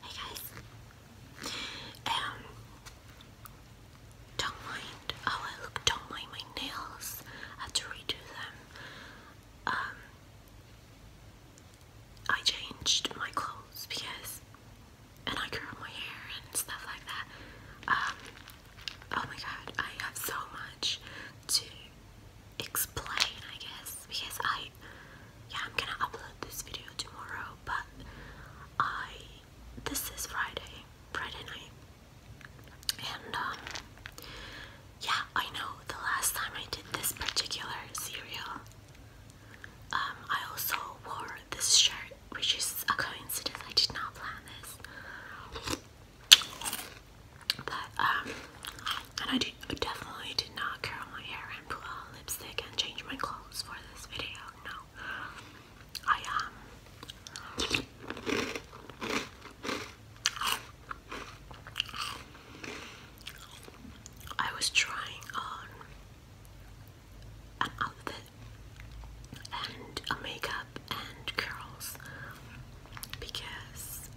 Hey guys. Um don't mind oh I look don't mind my nails. I to redo them. Um I changed my clothes because and I curl my hair and stuff like that. Um oh my god, I have so much to explain I guess because I, yeah, I'm gonna upload this video tomorrow, but I, this is Friday, Friday night, and um, yeah, I know the last time I did this particular cereal, um, I also wore this shirt, which is a coincidence, I did not plan this. But um, and I, definitely did not curl my hair and put on lipstick and change my clothes for this video. No, I um. I was trying on an outfit and a makeup and curls because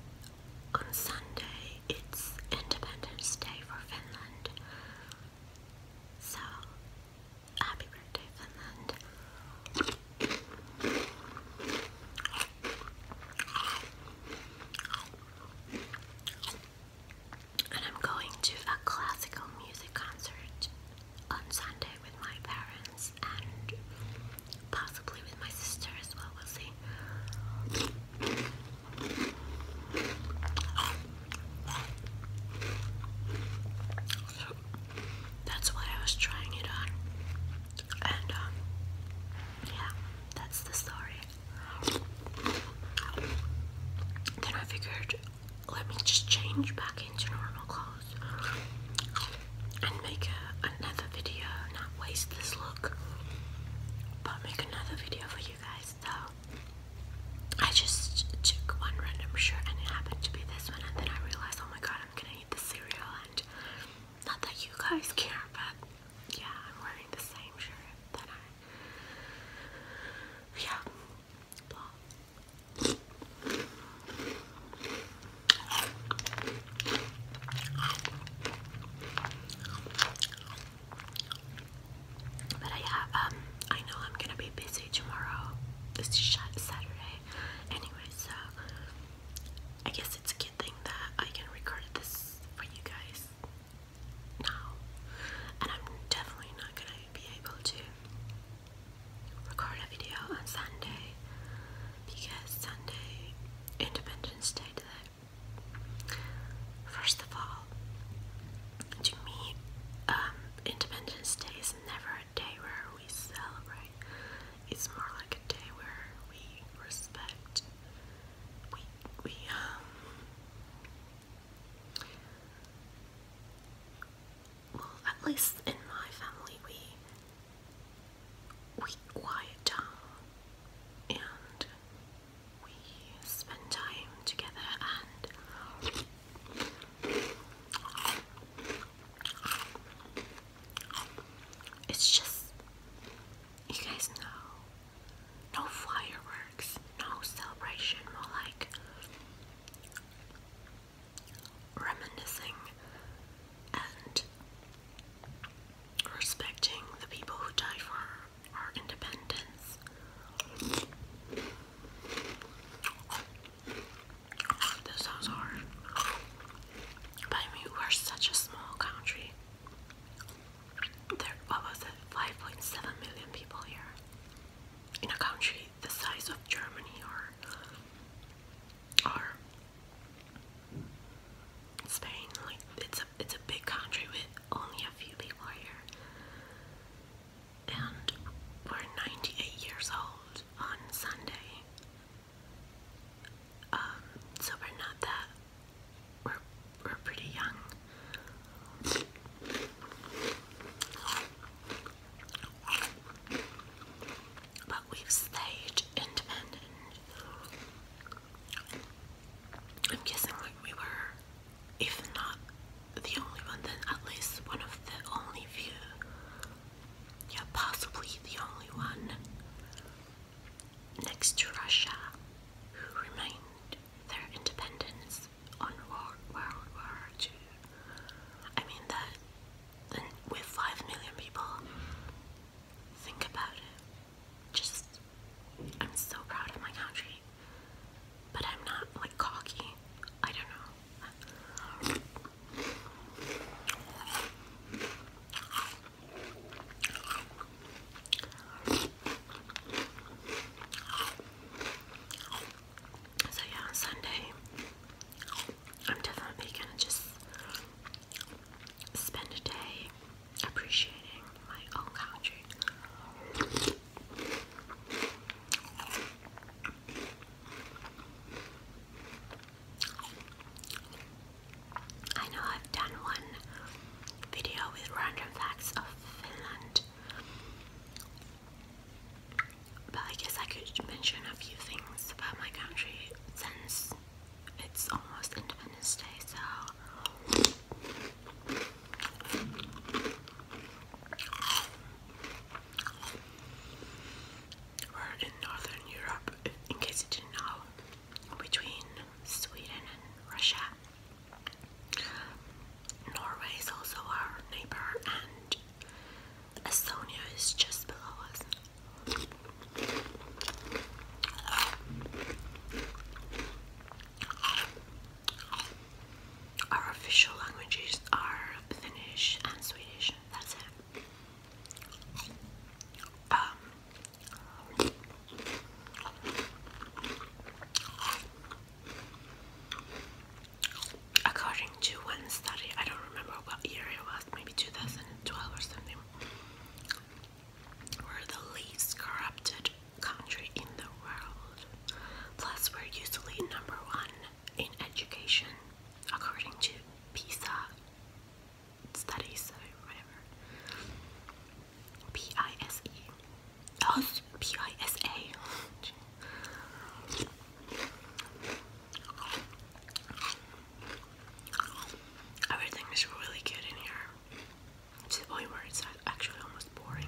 on Sunday it's Independence Day for Finland. So, happy birthday, Finland. And I'm going to a classical music concert on Sunday with my parents and possibly with my sister as well, we'll see that's why I was trying it on. And um, yeah, that's the story. Then I figured let me just change back into normal clothes and make another video, not waste this look, but make another video for you guys guys I just took one random shirt and it happened to be this one and then I realized oh my god I'm gonna eat the cereal and not that you guys care but yeah I'm wearing the same shirt that I yeah but I um, I know I'm gonna be busy tomorrow. It's Saturday, anyway. So I guess it's a good thing that I can record this for you guys now, and I'm definitely not gonna be able to record a video on Sunday because Sunday, Independence Day today. First of all, to me, um, Independence Day is never a day where we celebrate. It's more like a day where we respect. We we um, Well, at least in my family, we we quiet down and we spend time together and it's just you guys know no fireworks, no celebration, more like reminiscing and respecting the people who died for our independence. That sounds hard. But I mean, we're such a small country. There, what was it, 5.7 million people here. In a country the size of Germany or, or Spain, like it's a it's a big country with only a few people here, and we're 98 years old on Sunday. Um, so we're not that we're we're pretty young. But we've stayed independent I'm guessing like we were, if not the only one, then at least one of the only few. Yeah, possibly the only one next to Russia who remained their independence on World War II. I mean that, and with five million people, Think about it. Just, I'm so proud of my country. But I'm not like cocky. I don't know. So, yeah, on Sunday, I'm definitely gonna just spend a day appreciating my own country. I know I've done one video with random facts of Finland, but I guess I could mention a few things about my country since it's almost Independence Day, so we're in Northern Europe, in case you didn't know, between Sweden and Russia. Norway is also our neighbor, and Estonia is just below us. Our official languages are Finnish and Swedish. That's it. Um, according to one study, I don't remember what year it was, maybe 2012 or something. We're the least corrupted country in the world. Plus, we're usually number one in education, according to PISA studies, So whatever. P I S E. Oh, P I S A. Everything is really good in here to the point where it's actually almost boring.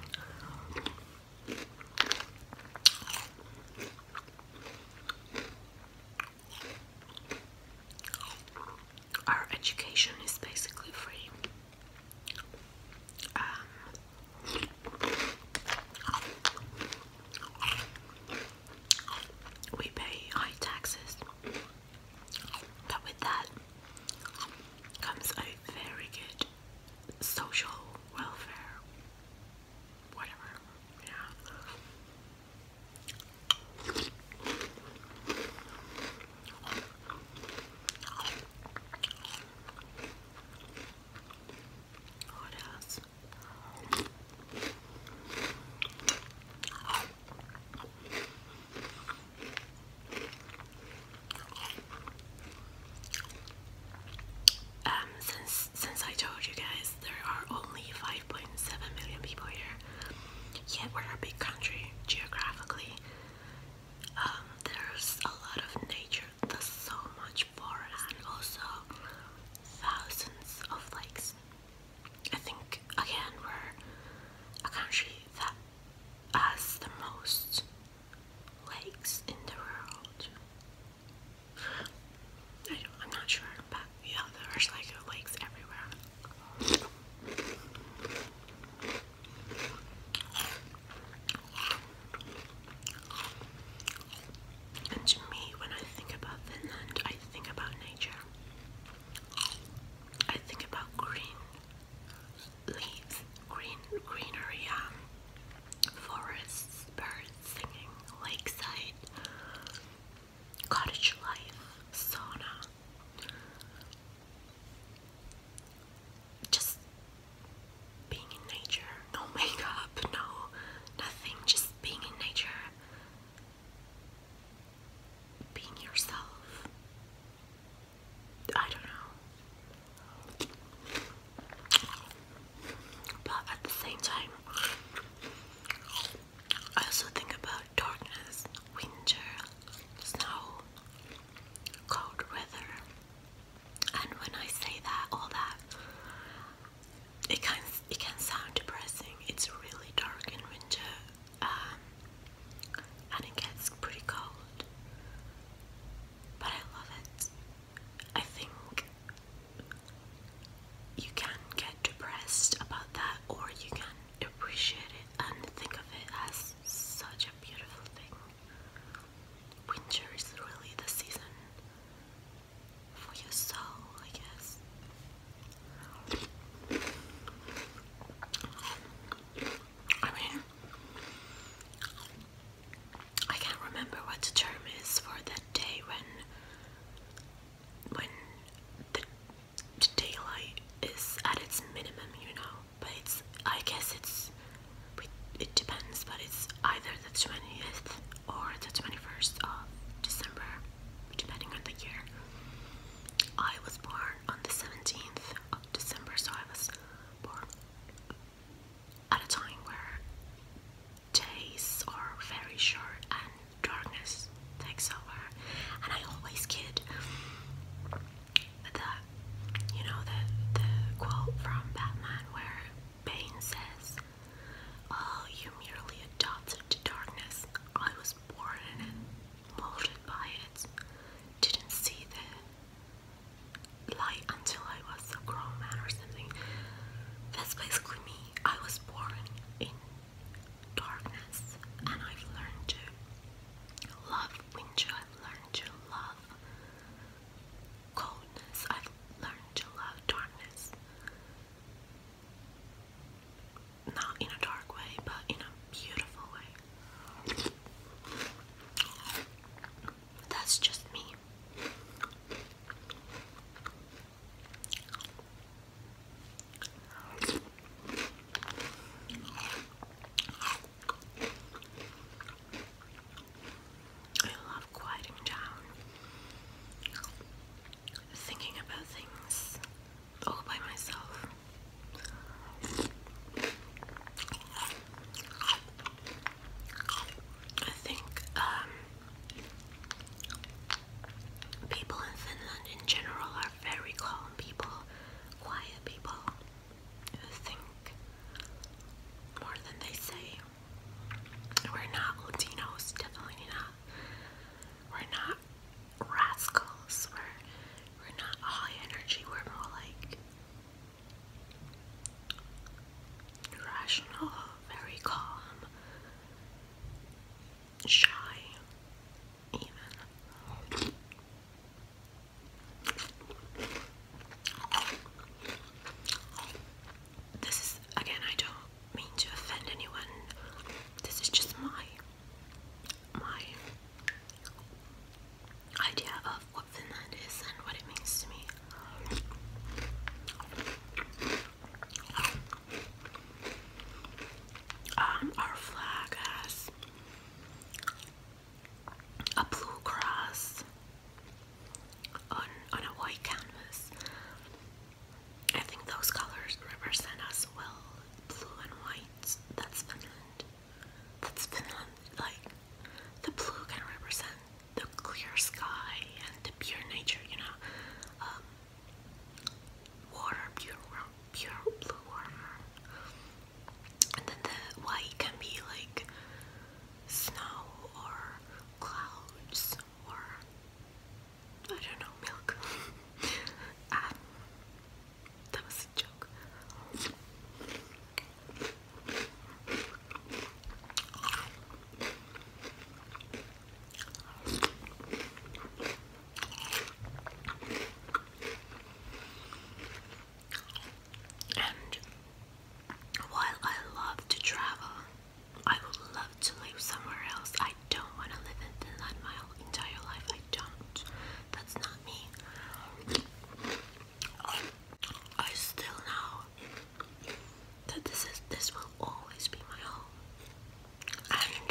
Our education is basically free. Um, we pay high taxes. But with that comes a very good social welfare, whatever, yeah. What else? Um, since since I told you guys there are only 5.7 million people here, yet we're a big country geographically. Um, there's a lot of nature. There's so much forest and also thousands of lakes. I think again we're a country that has the most lakes in the world. I don't, I'm not sure, but yeah, there's like lakes everywhere. And to me, when I think about Finland, I think about nature. I think about green leaves, green greenery, um, forests, birds singing, lakeside, cottage life, sauna. Just being in nature, no makeup, no nothing, just being in nature being yourself. I don't know. But at the same time, I also think about darkness, winter, snow, cold weather. And when I say that, all that, it can it can sound depressing. It's really dark in winter um, and it gets pretty cold, but I love it. I think you can get depressed about that, or you can appreciate it and think of it as such a beautiful thing. Winter is really the season for your soul, I guess. I can't remember what the term is for that day when when the daylight is at its minimum, you know. But it's I guess it's it depends, but it's either the twentieth or the twenty first of December, depending on the year. I was born on the 17th of December, so I was born at a time where days are very short and darkness takes over. And I always kid that, you know, the, the quote from Batman where Bane says, Oh, you merely adopted darkness. I was born in it, molded by it, didn't see the light until I was a grown man or something. That's basically me. I was born in darkness and I've learned to love winter, I've learned to love coldness, I've learned to love darkness not in a dark way, but in a beautiful way. That's just me. I love quieting down, thinking about things, all by myself. I think um, people in Finland in general are very calm people, quiet people think more than they say. We're not Latinos, definitely not. We're not rascals. We're not high energy. We're more like rational, very calm, shy, even. This is again, I don't mean to offend anyone. This is just my my idea of what Finland is and what it means to me. Um, our flag has a blue cross on a white canvas. I think those colors represent us well, blue and white. That's Finland. That's Finland. Like the blue can represent the clear sky and the pure nature. You know, um, water, pure, pure blue water. And then the white can be like snow or clouds or I don't know, milk. Ah, that was a joke. And while I love to travel, I would love to live somewhere else don't want to live in Finland my entire life. I don't. That's not me. I still know that this is this will always be my home. And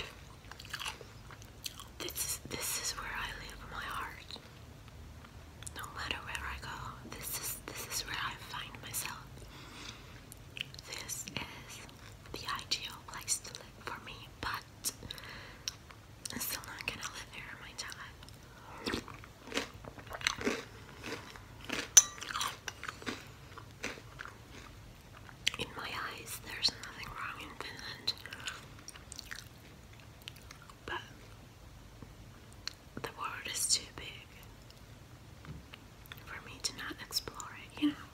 this is this is where I live my heart. No matter where I go, this is this is where I find myself. This is the ideal place to live for me, but I'm still not gonna live here, my In my eyes, there's nothing wrong in Finland. But the world is too big for me to not explore it, you know? I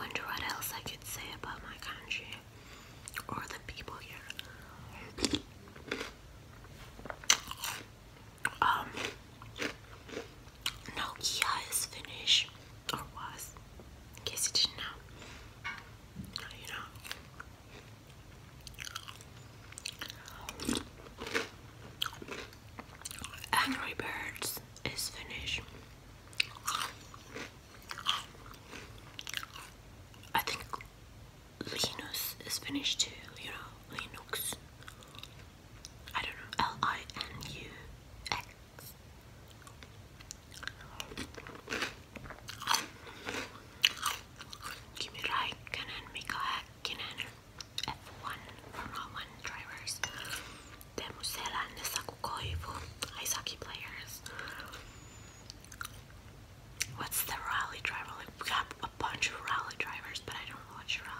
wonder what else I could say about my country. Um, Nokia is Finnish, or was, in you didn't know. You know. Angry Birds is finished. I think Linus is finished too, you know, Linux. I don't know, L I N U X. Kimi Raikkonen, Mika Häkkinen, F1 Formula 1 drivers, Teemu Selänne, Saku Koivu, Aisaki players, What's the rally driver? Like we got a bunch of rally drivers, but I don't watch rally.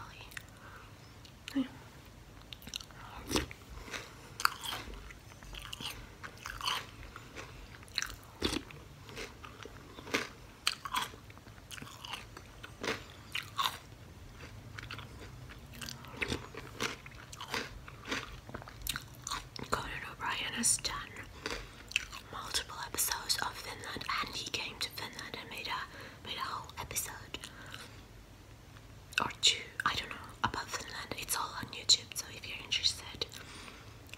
Conan O'Brien has done multiple episodes of Finland, and he came to Finland and made a made a whole episode or two, I don't know, about Finland. It's all on YouTube, so if you're interested,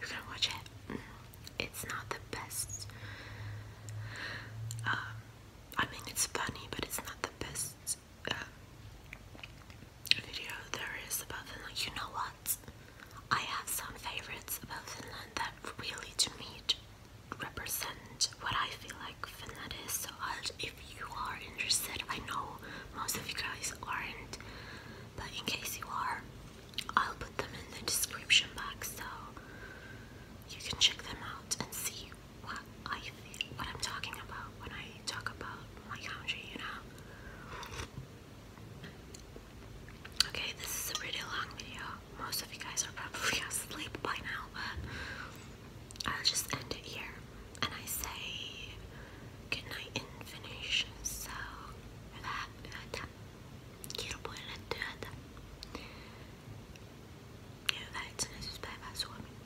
you can watch it. Mm, it's not the best. Um, I mean, it's funny, but it's not the best. Uh, video there is about Finland. You know what? I have some favorites about Finland that really to me represent what I feel like Finland is. So if you are interested, I know most of you guys aren't, but in case you are, I'll put them in the description box so you can check them out and see what I feel, what I'm talking about when I talk about my country, you know. Okay, this is a pretty long video. Most of you guys are probably asleep by now, but I'll just end it here. And I say good night in Finnish. So, hyvää yötä. Kirpuille työtä. Ja hyvää itsenäisyyspäivää Suomi.